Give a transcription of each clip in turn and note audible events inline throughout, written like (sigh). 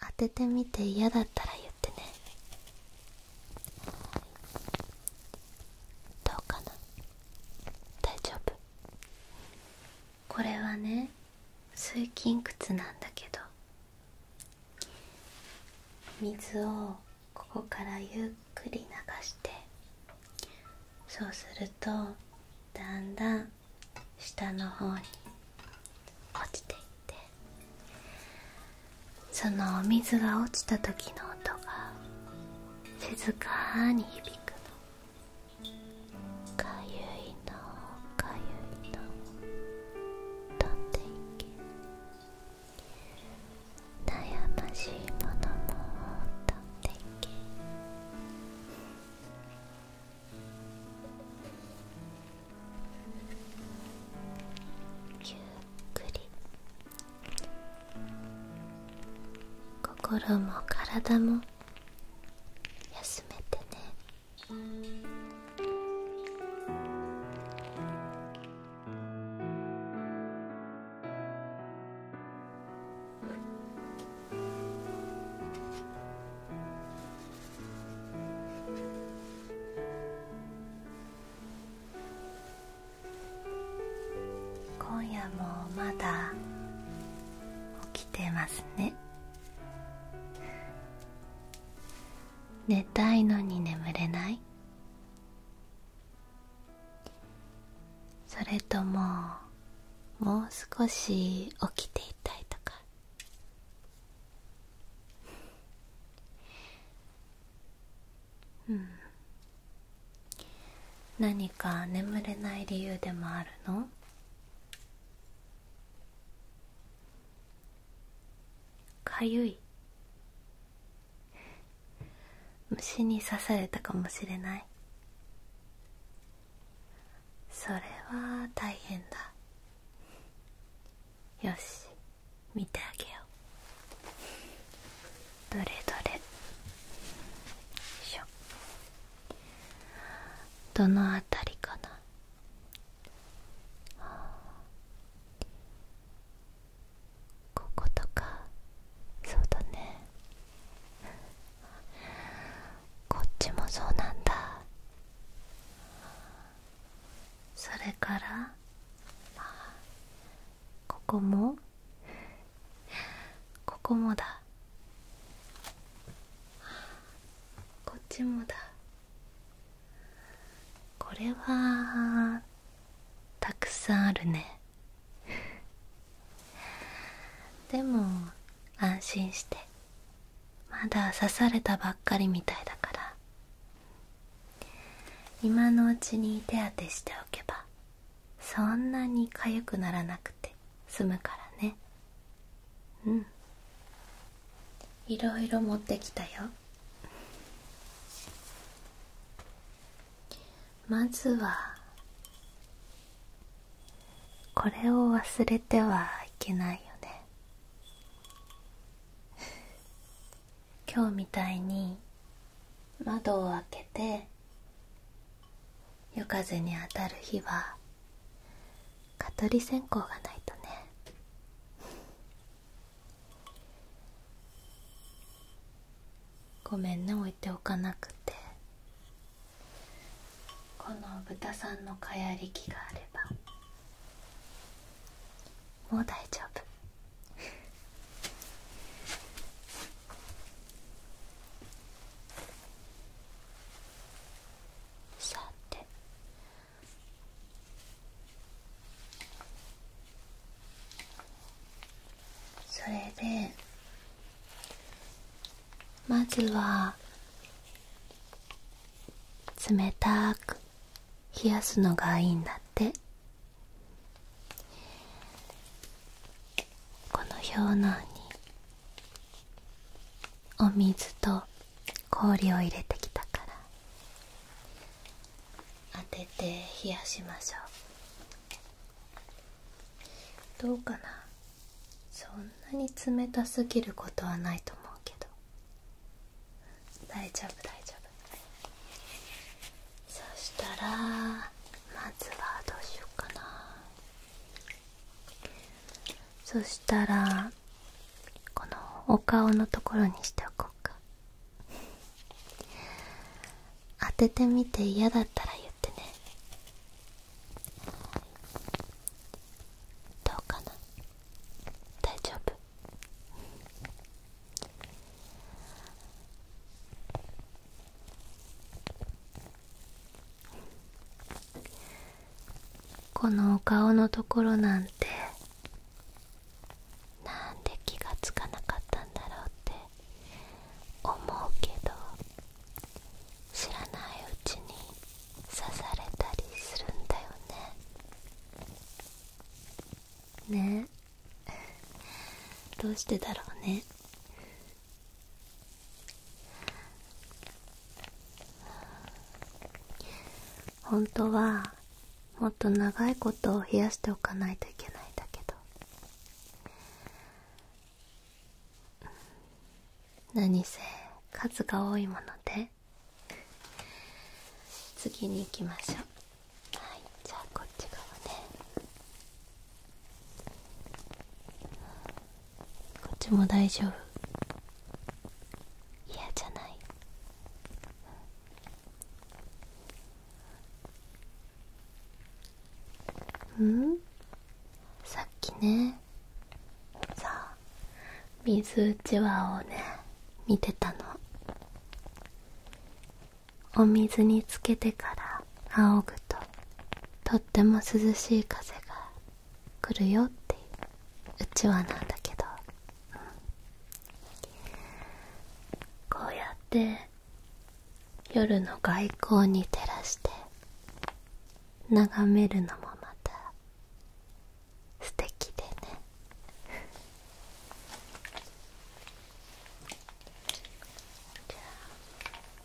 当ててみて嫌だったら言ってねどうかな大丈夫これはね水筋窟なんだけど水をここからゆっくり流してそうするとだんだん下の方に落ちていってそのお水が落ちた時の音が静かに響くのかゆいのかゆいの飛んでいけ悩ましいものも飛んでいけゆっくり心も体も休めてね今夜もまだ起きてますね寝たいのに眠れないそれとももう少し起きていたいとかうん何か眠れない理由でもあるのかゆい虫に刺されたかもしれないそれは大変だよし見てあげようどれどれしょどのあたりかなこことかそうだねこっちもそうなんだそれから、ここもここもだこっちもだこれはたくさんあるねでも安心してまだ刺されたばっかりみたいだから今のうちに手当てしておけばそんなにかゆくならなくて済むからねうんいろいろ持ってきたよまずはこれを忘れてはいけないよね今日みたいに窓を開けて夜風に当たる日は蚊取り線香がないとねごめんね置いておかなくてこの豚さんの蚊やり器があればもう大丈夫 (laughs) さてそれでまずは冷たく冷やすのがいいんだってこの表内にお水と氷を入れてきたから当てて冷やしましょうどうかなそんなに冷たすぎることはないと思うけど大丈夫大丈夫そしたらまずはどうしようかなそしたらこのお顔のところにしておこうか当ててみて嫌だったら言ってねどうかな大丈夫このお顔のところなんてなんで気が付かなかったんだろうって思うけど知らないうちに刺されたりするんだよねねえ (laughs) どうしてだろうね本当はもっと長いことを冷やしておかないといけないんだけど何せ数が多いもので次に行きましょうはいじゃあこっち側ねこっちも大丈夫嫌じゃないうんさっきねさあ水うちわをね見てたのお水につけてから仰ぐととっても涼しい風が来るよっていううちわなんだけど、こうやって夜の外光に照らして眺めるのもまた素敵でね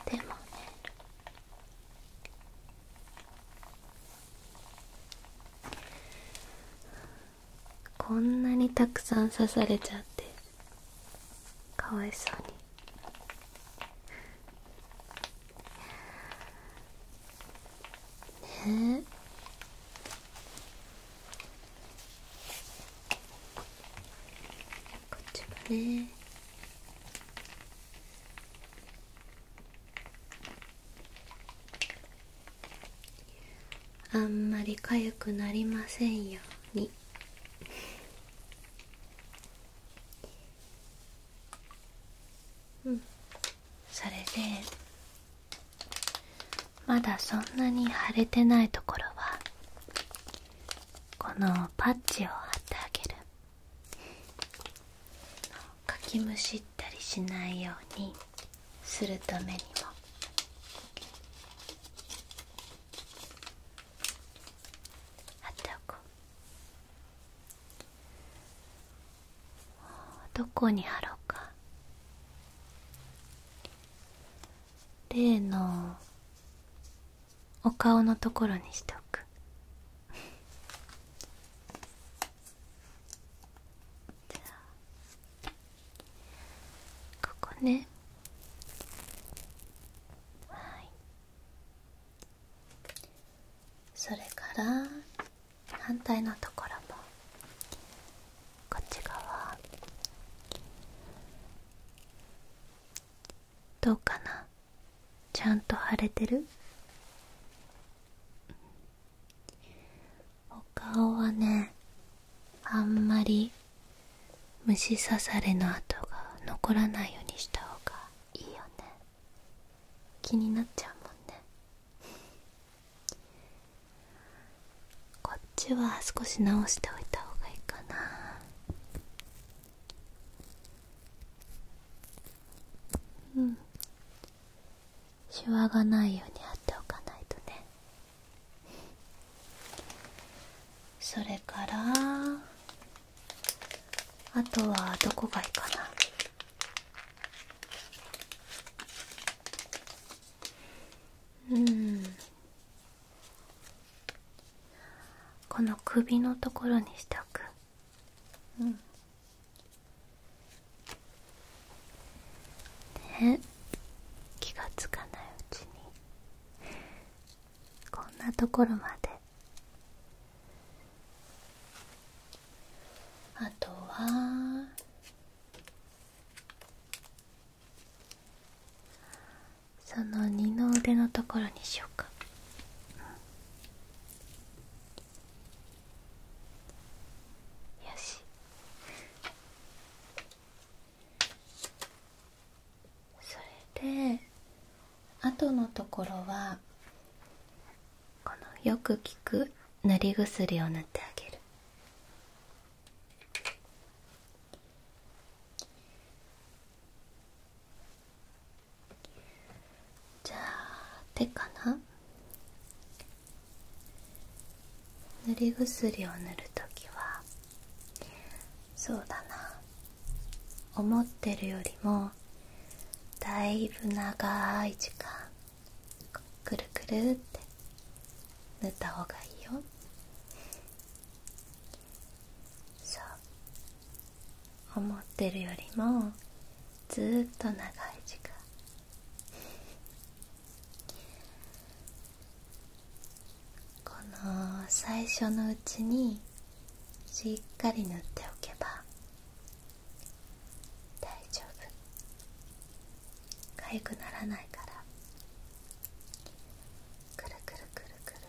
でもねこんなにたくさん刺されちゃってかわいそうにねこっちもねあんまり痒くなりませんように。うんそれでまだそんなに腫れてないところはこのパッチを貼ってあげるかきむしったりしないようにするためにも貼っておこう。どこに貼ろうか例のお顔のところにしておく (laughs) じゃあここねはいそれから反対のところもこっち側どうかなちゃんと腫れてるお顔はねあんまり虫刺されの跡が残らないようにした方がいいよね気になっちゃうもんね (laughs) こっちは少し直しておいたほうがいいかなうんシワがないように貼っておかないとね (laughs) それからあとはどこがいいかなうんこの首のところにしておくうんで気がつかないうちにこんなところまであとはその二の腕のところにしようか。よしそれであとのところはこのよく効く塗り薬を塗ってあげるじゃあ手かな塗り薬を塗るときはそうだな思ってるよりもだいぶ長い時間くるくるって塗ったほうがいいよそう思ってるよりもずっと長い時間この最初のうちにしっかり塗っておけば大丈夫痒くならないからくるくるくるくるってよ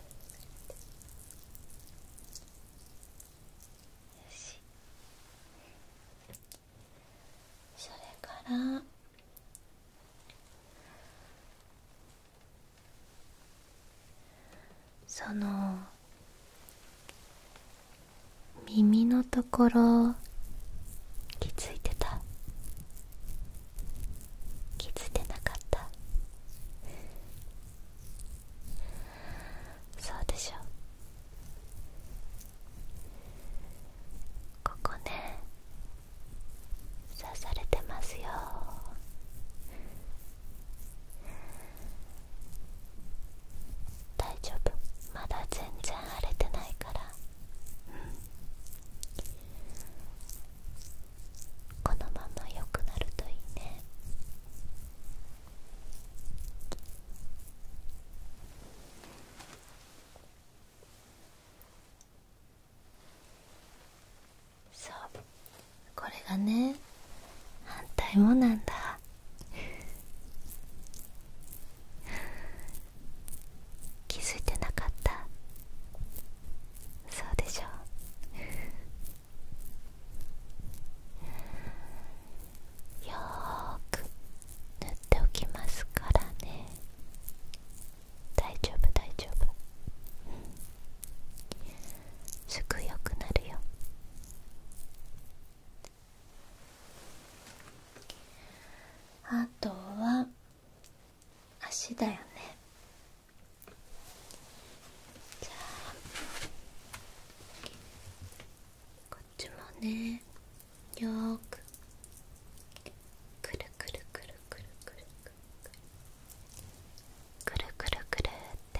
しそれからその耳のところ気づいてた気づいてなかったそうでしょここね刺されてますよ大丈夫まだ全然荒れてないからうんこのまま良くなるといいねそうこれがね反対もなんだ気づいてなかったそうでしょうよく塗っておきますからね大丈夫大丈夫、すぐ良くなるよあとは足だよねじゃあこっちもねよくくるくるくるくるくるくるくるくるって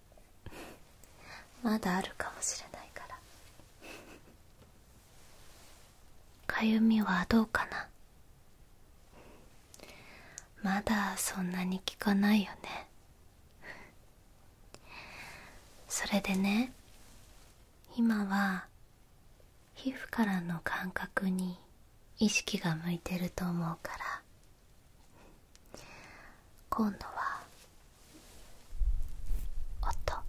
(laughs) まだあるかもしれないからかゆみはどうかなまだそんなに効かないよねそれでね今は皮膚からの感覚に意識が向いてると思うから今度は音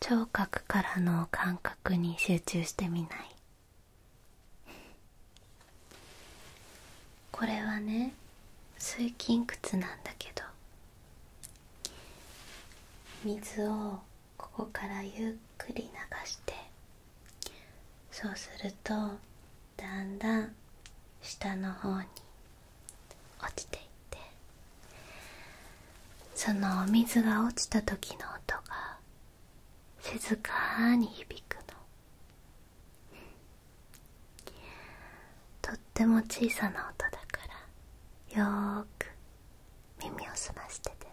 聴覚からの感覚に集中してみないこれはね水筋窟なんだけど水をここからゆっくり流してそうするとだんだん下の方に落ちていってそのお水が落ちた時の音が静かに響くのとっても小さな音だからよーく耳を澄ましててね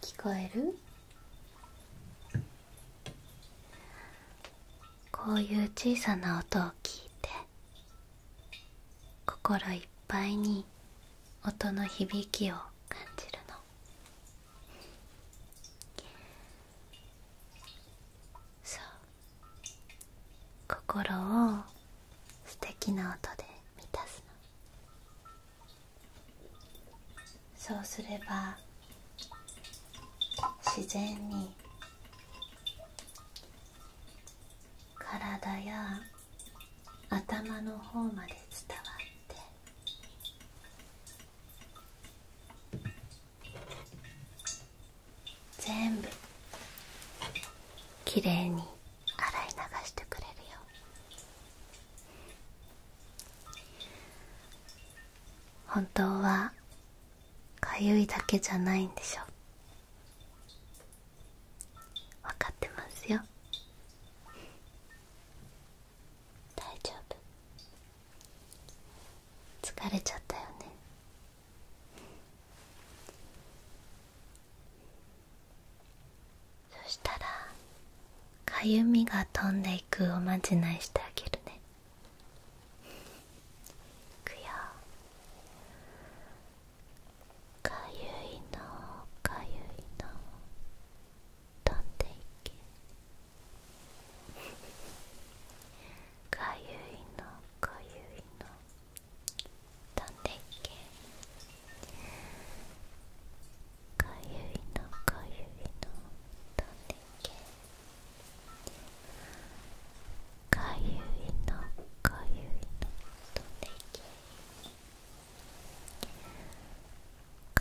聞こえるこういう小さな音を聞いて心いっぱいに音の響きを感じるのそう心を素敵な音で満たすのそうすれば自然に体や頭の方まで伝わって全部きれいに洗い流してくれるよ本当はかゆいだけじゃないんでしょ分かってますよ大丈夫疲れちゃったよねそしたらかゆみが飛んでいくおまじないしてあげるねいくよかゆいのかゆいの飛んでいけ (laughs) かゆいのかゆいの飛んでいけかゆいのかゆいの飛んでいけかゆいのかゆいの飛んでいけ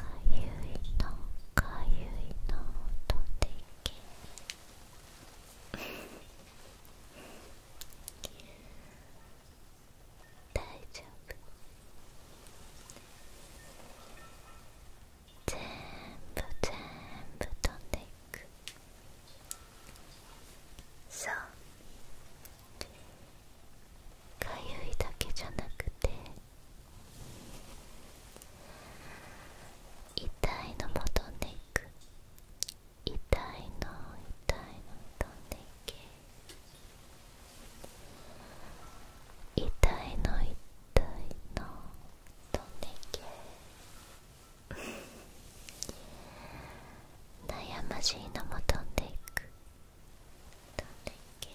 かゆいのかゆいの飛んでいけ大丈夫全部全部飛んでいくそうかゆいだけじゃなくて痛いのも飛んでいく痛いの痛いの飛んでけ痛いの痛いの飛んでけ悩ましいのも飛んでく飛んでけ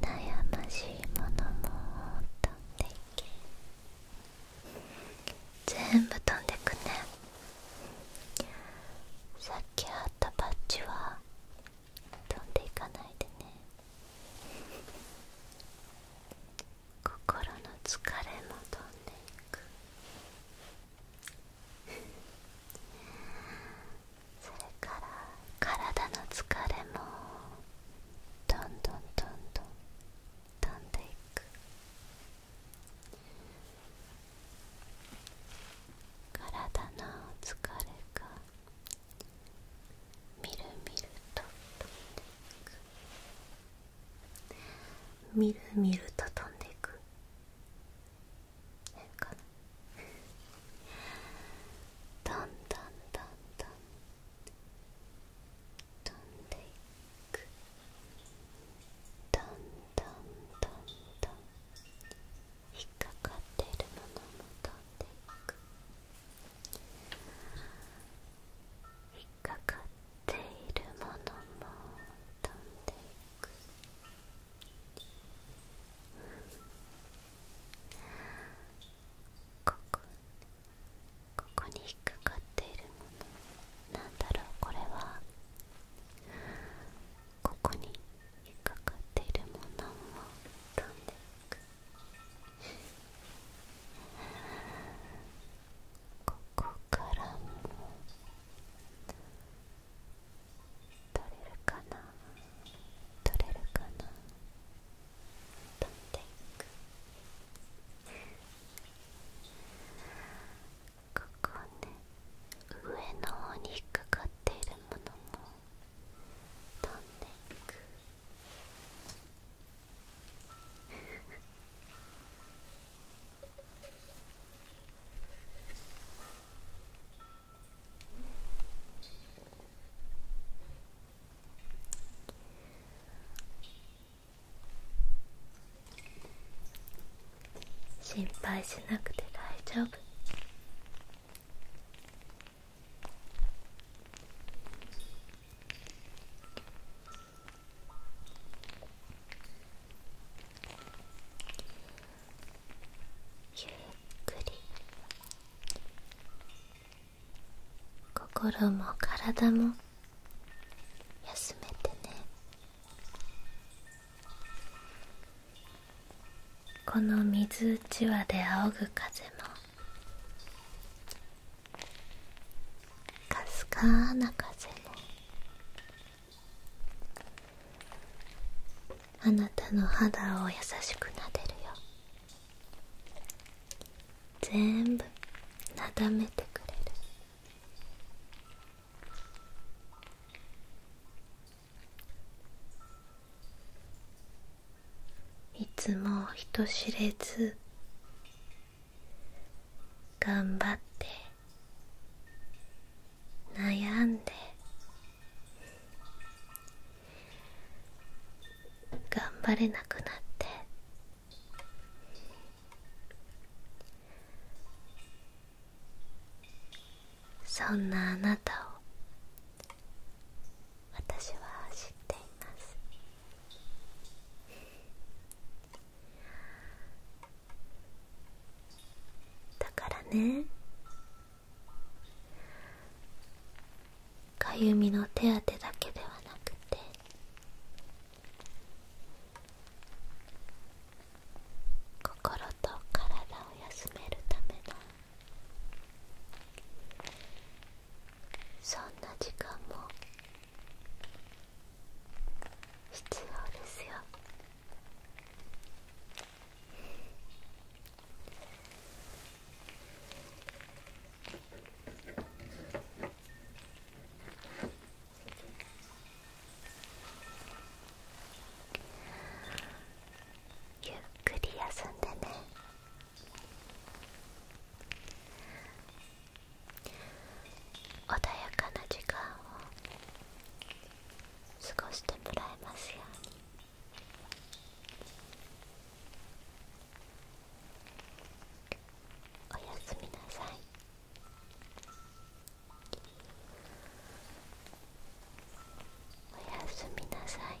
悩ましいものも飛んでけ全部飛んでくねさっきあったパッチは飛んでいかないでね心の疲れも飛んでいくそれから体の疲れもどんどんどんどん飛んでいく体の疲れがみるみると飛んでいくみるみると飛んでいく変かなどんどんどんどん飛んでいくどんどんどんどん引っかかってるものも飛んでいく引っかかっているものも飛んでいくここここに引っかかっているものなんだろうこれはここに引っかかっているものも飛んでいくここからも取れるかな取れるかな飛んでいくここね上の方にかかっているものも飛んでいくこ心配しなくて大丈夫ゆっくり心も体も休めてねこの水うちわで仰ぐ風もかすかな風もあなたの肌を優しくなでるよ全部なだめてくれるいつも人知れず頑張って悩んで頑張れなくなってそんなあなたを私は知っていますだからねかゆみの手当だけではなくて心と体を休めるためのそんな時間も必要ですよゆっくり休んでね穏やかな時間を過ごしてもらえますようにおやすみなさいおやすみなさい